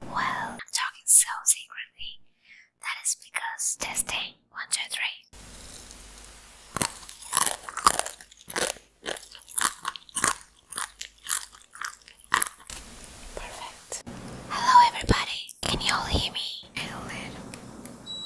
Well, I'm talking so secretly. That is because testing. One, two, three. Perfect. Hello, everybody. Can you all hear me? A little.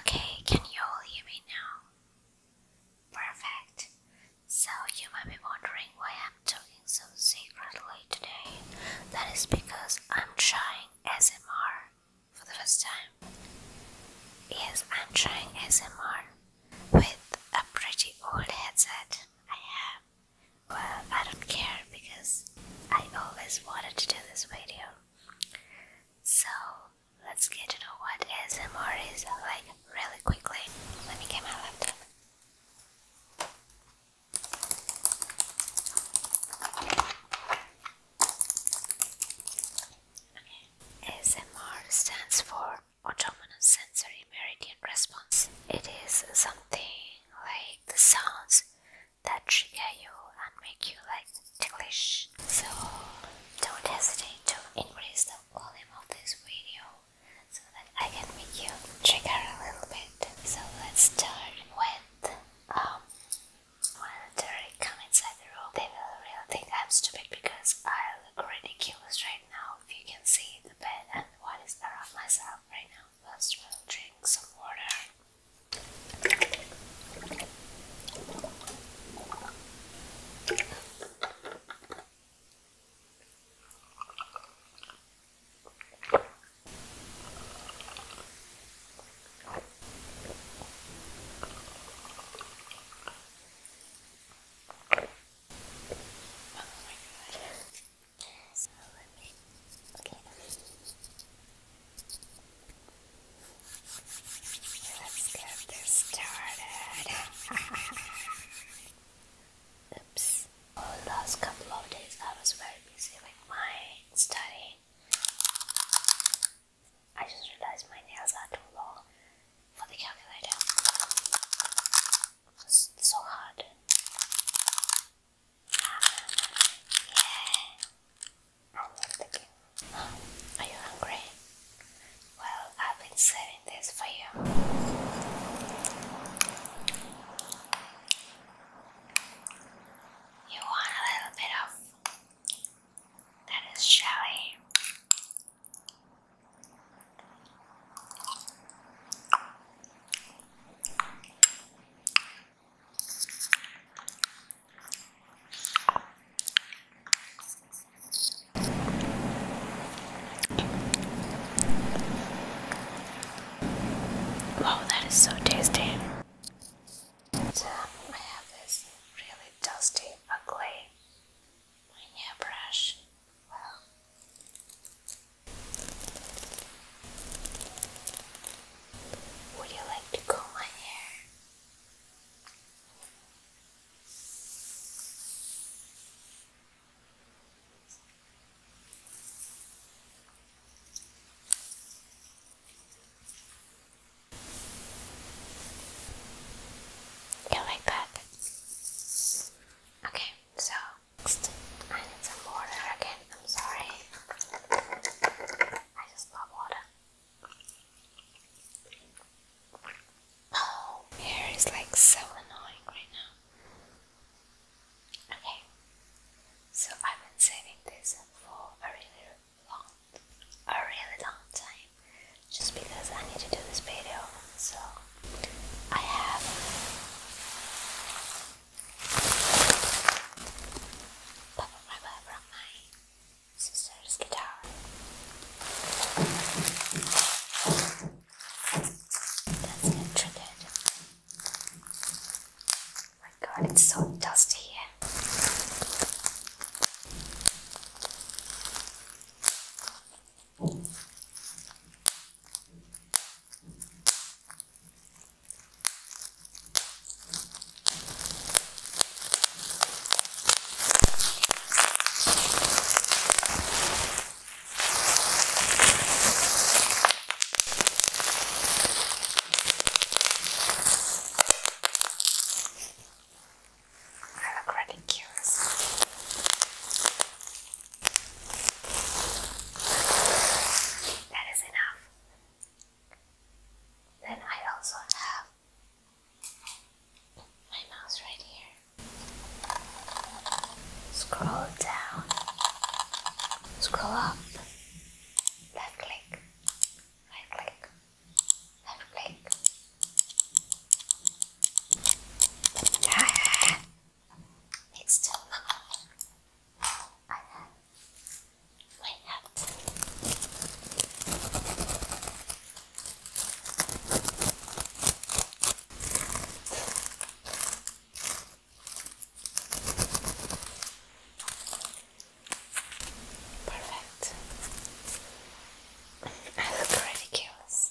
Okay, can you all hear me now? Perfect. So, you might be wondering why I'm talking so secretly today. That is because I'm trying SMR for the first time. Yes, I'm trying SMR with a pretty old headset I have. Well, I don't care because I always wanted to do this video. So, let's get to know what SMR is like really quickly. Let me get my laptop. ASMR stands for Autonomous Sensory Meridian Response. It is something like the sounds that trigger you and make you like ticklish. So don't hesitate to increase the volume of this video so that I can make you trigger a little bit. So let's start with when um, the terrorist come inside the room, they will really think I'm stupid because I look ridiculous right now. If you can see the bed and what is around myself right now, first we'll drink some water. So let me, okay, let me, let's get this started. Oops. the last couple of days I was very busy with my study. I just realized my nails are too long for the calculator. It's so hard. Ah, yeah. Are you hungry? Well, I've been saving this for you. You want a little bit of that is jelly. Wow, that is so tasty. So I have this really dusty, ugly hairbrush. Well, would you like to comb my hair? You like that? Okay, so I need some water again. I'm sorry. I just love water. Oh, is like so annoying right now. Okay, so I've been saving this for a really long, a really long time, just because I need to do this video. So I have Papa Rubber from my sister's guitar. That's not Oh my god, it's so dusty here. I look really curious. That is enough. Then I also have my mouse right here. Scroll down. Scroll up. Left click. Right click. Left click. Ah, it's still not. I have my hat. Perfect. I look ridiculous.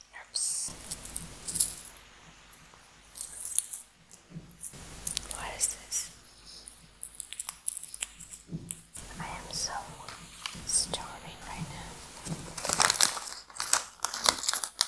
Oops. What is this? I am so starving right now.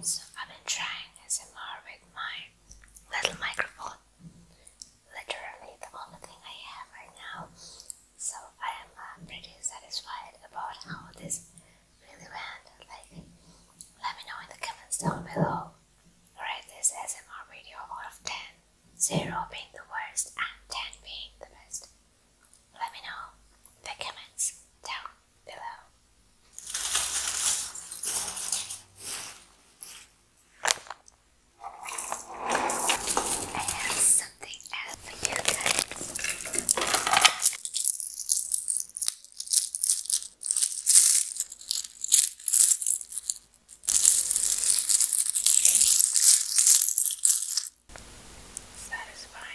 So I've been trying SMR with my little microphone. Literally the only thing I have right now. So I am uh, pretty satisfied about how this really went. Like, let me know in the comments down below. Rate this SMR video out of 10. 0 being the worst and 10 being the best? Let me know the comments down below. I have something else for you guys. Satisfying.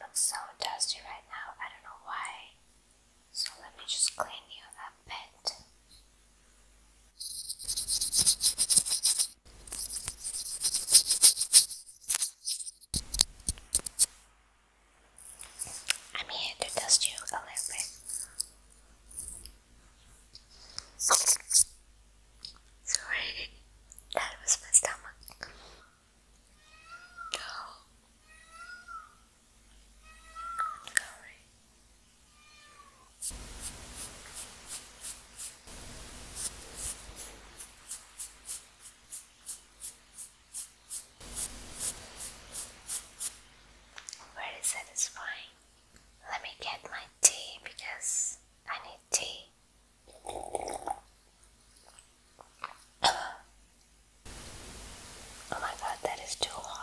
Looks so dusty right now, I don't know why. So let me just clean you up a bit. I'm here to test you a little bit. Sorry, that was my stomach. Oh. I'm sorry. Very satisfying. Let me get my tea because I need tea. oh my god, that is too hot.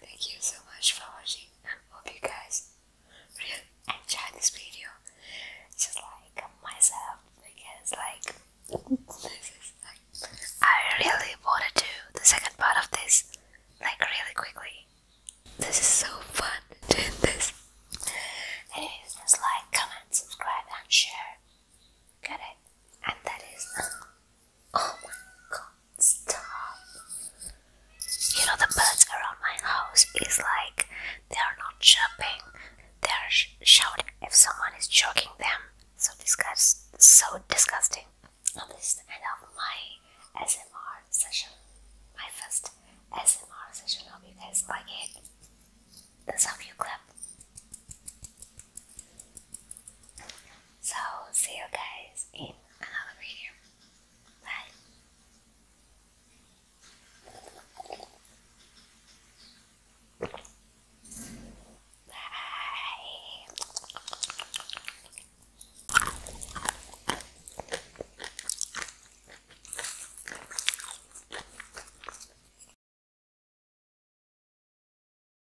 Thank you so much for watching. Hope you guys really enjoyed this video. Just like myself, because like this is like I really want to do the second part of this like really quickly. This is so fun doing this. Anyways, just like, comment, subscribe, and share. Got it? And that is. Oh my god, stop. You know, the birds around my house is like they are not chirping, they are sh shouting if someone is choking them. So, disgust so disgusting. this is the end of my SMR session. My first SMR session. Hope you guys like it. This you clap? So, see you guys in another video. Bye. Bye.